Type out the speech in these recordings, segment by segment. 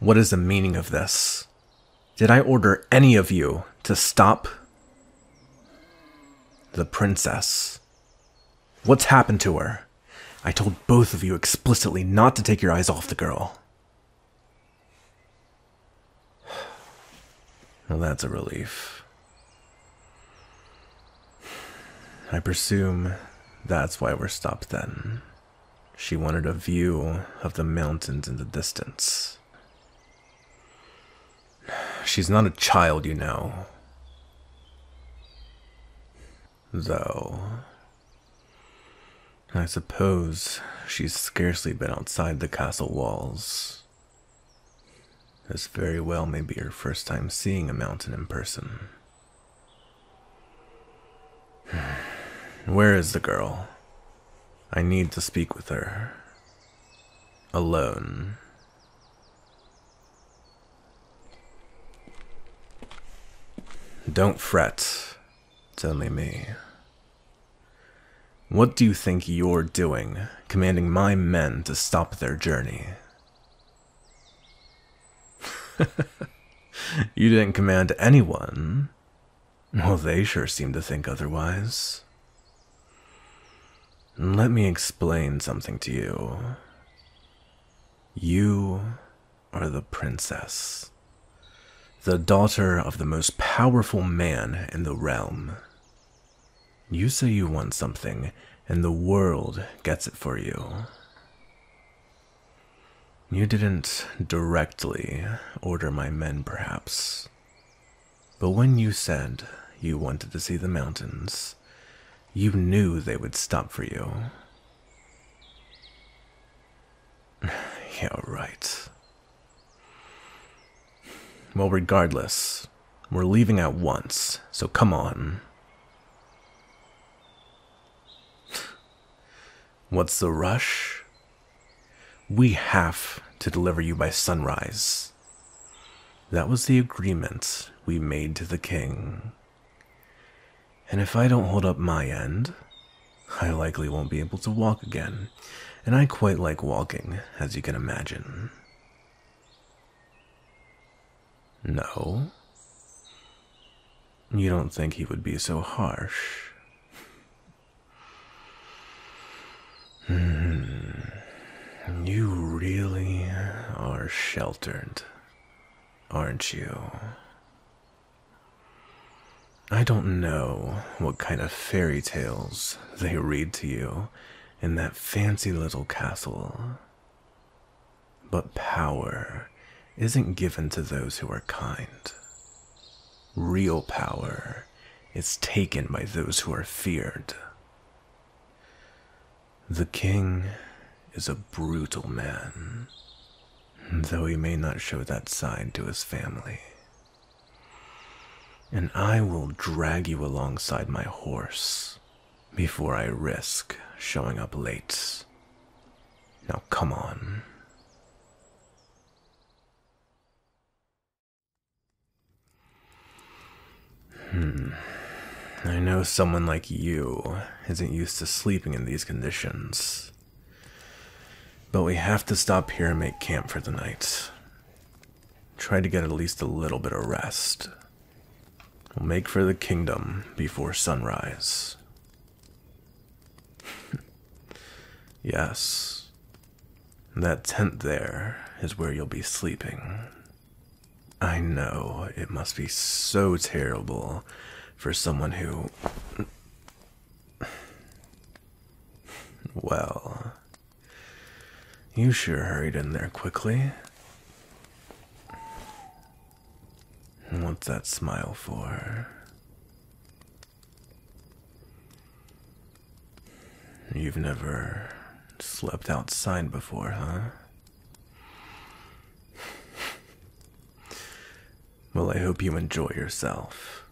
What is the meaning of this? Did I order any of you to stop the princess? What's happened to her? I told both of you explicitly not to take your eyes off the girl. Well, that's a relief. I presume that's why we're stopped then. She wanted a view of the mountains in the distance. She's not a child, you know. Though, I suppose she's scarcely been outside the castle walls. This very well may be her first time seeing a mountain in person. Where is the girl? I need to speak with her. Alone. Don't fret. It's only me. What do you think you're doing, commanding my men to stop their journey? you didn't command anyone. Well, they sure seem to think otherwise. Let me explain something to you. You are the princess, the daughter of the most powerful man in the realm. You say you want something, and the world gets it for you. You didn't directly order my men, perhaps. But when you said you wanted to see the mountains, you knew they would stop for you. You're right. Well, regardless, we're leaving at once, so come on. What's the rush? We have to deliver you by sunrise. That was the agreement we made to the king. And if I don't hold up my end, I likely won't be able to walk again, and I quite like walking, as you can imagine. No. You don't think he would be so harsh? Hmm. you really are sheltered, aren't you? I don't know what kind of fairy tales they read to you in that fancy little castle. But power isn't given to those who are kind. Real power is taken by those who are feared. The king is a brutal man, though he may not show that side to his family and I will drag you alongside my horse before I risk showing up late. Now, come on. Hmm. I know someone like you isn't used to sleeping in these conditions. But we have to stop here and make camp for the night. Try to get at least a little bit of rest. We'll make for the kingdom before sunrise. yes. That tent there is where you'll be sleeping. I know it must be so terrible for someone who. Well, you sure hurried in there quickly. What's that smile for? You've never slept outside before, huh? well, I hope you enjoy yourself.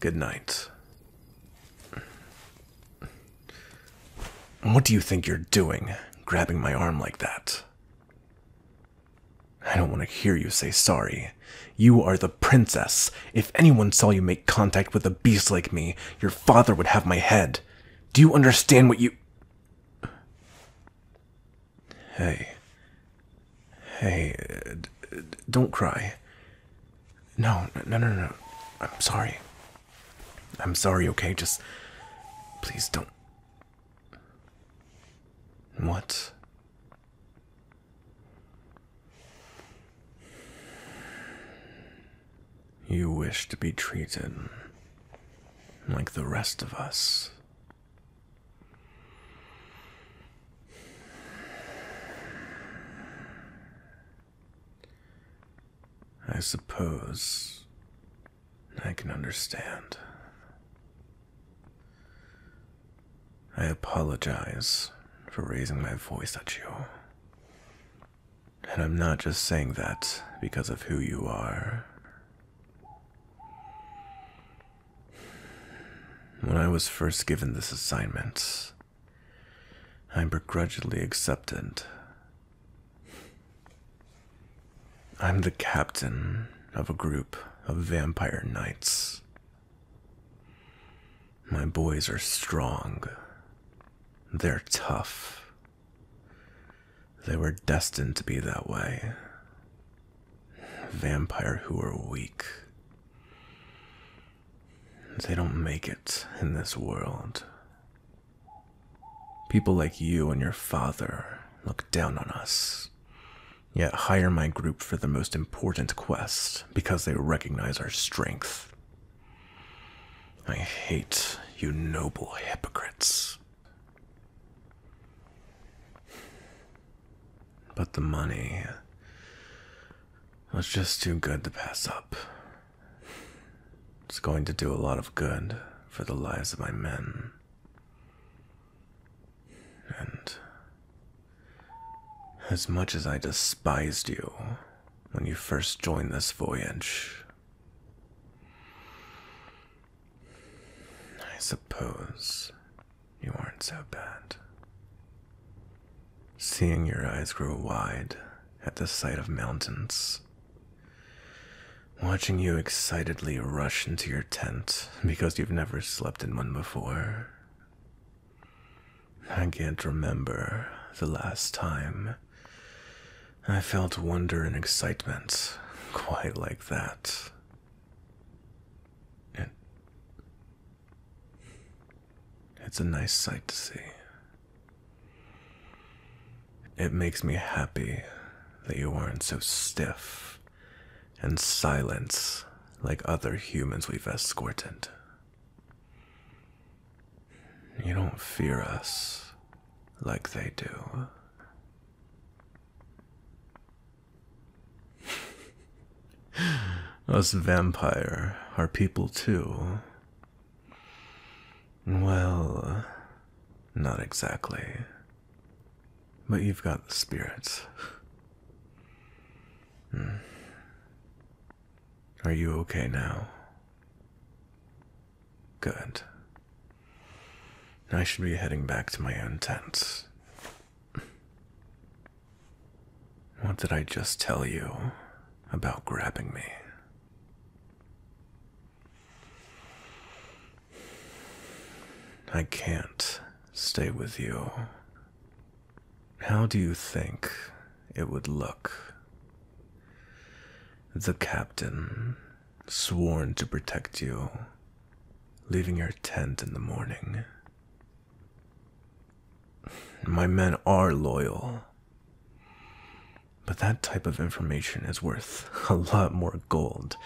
Good night. What do you think you're doing, grabbing my arm like that? I don't want to hear you say sorry. You are the princess. If anyone saw you make contact with a beast like me, your father would have my head. Do you understand what you. Hey. Hey, uh, don't cry. No, no, no, no. I'm sorry. I'm sorry, okay? Just please don't. What? You wish to be treated like the rest of us. I suppose I can understand. I apologize for raising my voice at you. And I'm not just saying that because of who you are. When I was first given this assignment, I'm begrudgingly acceptant. I'm the captain of a group of vampire knights. My boys are strong. They're tough. They were destined to be that way. Vampire who are weak. They don't make it in this world. People like you and your father look down on us, yet hire my group for the most important quest because they recognize our strength. I hate you noble hypocrites. But the money was just too good to pass up. It's going to do a lot of good for the lives of my men. And as much as I despised you when you first joined this voyage, I suppose you aren't so bad. Seeing your eyes grow wide at the sight of mountains. Watching you excitedly rush into your tent because you've never slept in one before. I can't remember the last time I felt wonder and excitement quite like that. It it's a nice sight to see. It makes me happy that you aren't so stiff and silent like other humans we've escorted. You don't fear us like they do. Us vampire are people too. Well, not exactly. But you've got the spirits. Hmm. Are you okay now? Good. I should be heading back to my own tent. What did I just tell you about grabbing me? I can't stay with you. How do you think it would look? The captain, sworn to protect you, leaving your tent in the morning. My men are loyal. But that type of information is worth a lot more gold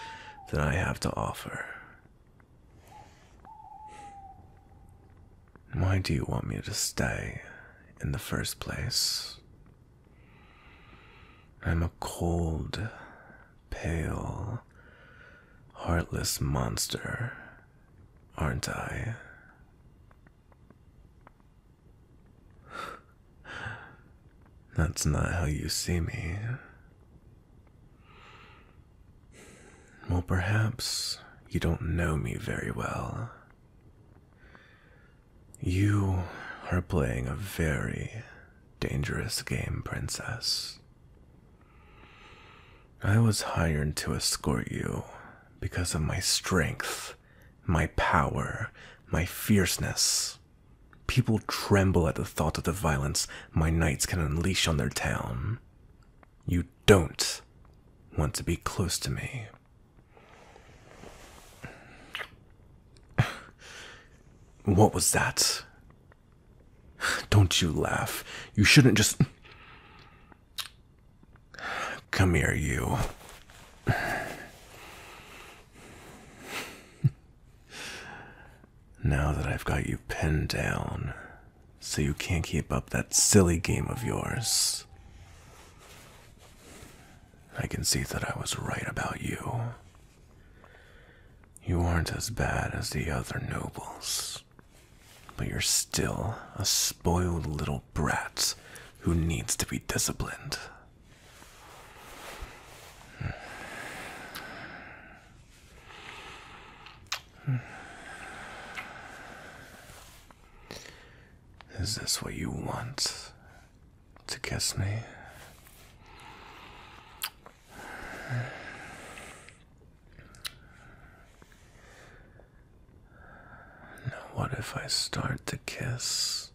than I have to offer. Why do you want me to stay in the first place? I'm a cold, pale, heartless monster, aren't I? That's not how you see me. Well, perhaps you don't know me very well. You are playing a very dangerous game, Princess. I was hired to escort you because of my strength, my power, my fierceness. People tremble at the thought of the violence my knights can unleash on their town. You don't want to be close to me. What was that? Don't you laugh. You shouldn't just. Come here, you. now that I've got you pinned down, so you can't keep up that silly game of yours, I can see that I was right about you. You aren't as bad as the other nobles, but you're still a spoiled little brat who needs to be disciplined. Hmm. Is this what you want? to kiss me. what if I start to kiss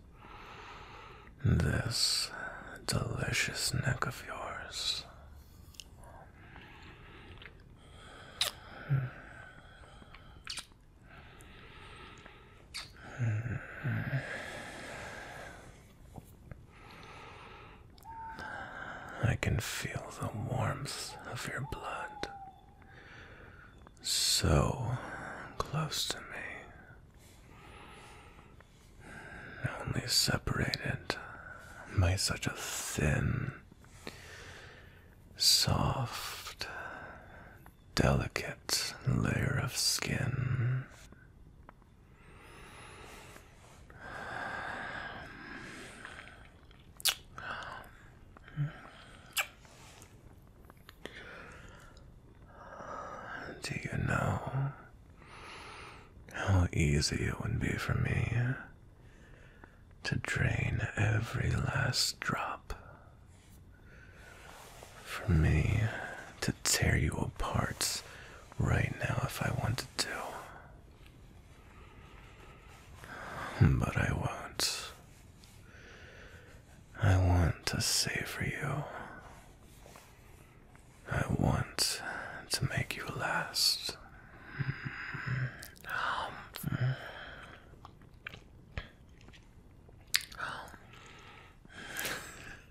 this delicious neck of yours? I can feel the warmth of your blood so close to me, only separated by such a thin, soft, delicate layer of skin. Do you know how easy it would be for me to drain every last drop for me to tear you apart right now if I wanted to. But I won't. I want to savor you. I want to make you last.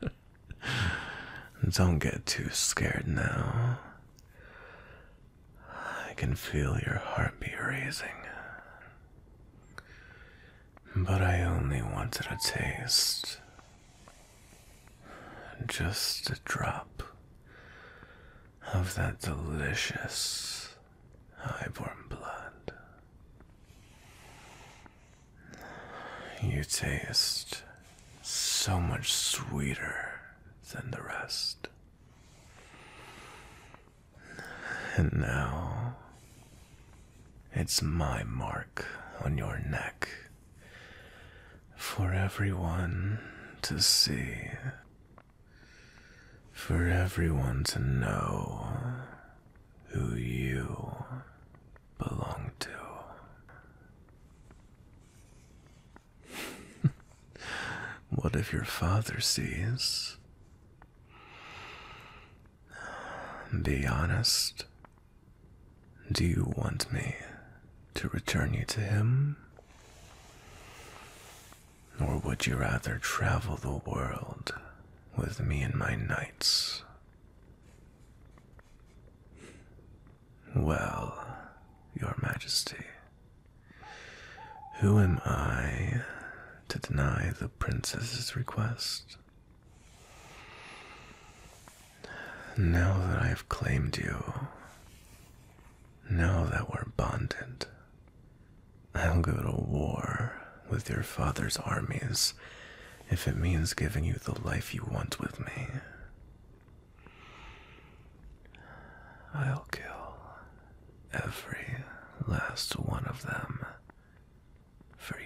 Don't get too scared now. I can feel your heart be raising. But I only wanted a taste. Just a drop of that delicious highborn blood. You taste so much sweeter than the rest. And now it's my mark on your neck for everyone to see, for everyone to know who you belong to. what if your father sees? Be honest. Do you want me to return you to him? Or would you rather travel the world with me and my knights. Well, Your Majesty, who am I to deny the princess's request? Now that I have claimed you, now that we're bonded, I'll go to war with your father's armies if it means giving you the life you want with me. I'll kill every last one of them for you.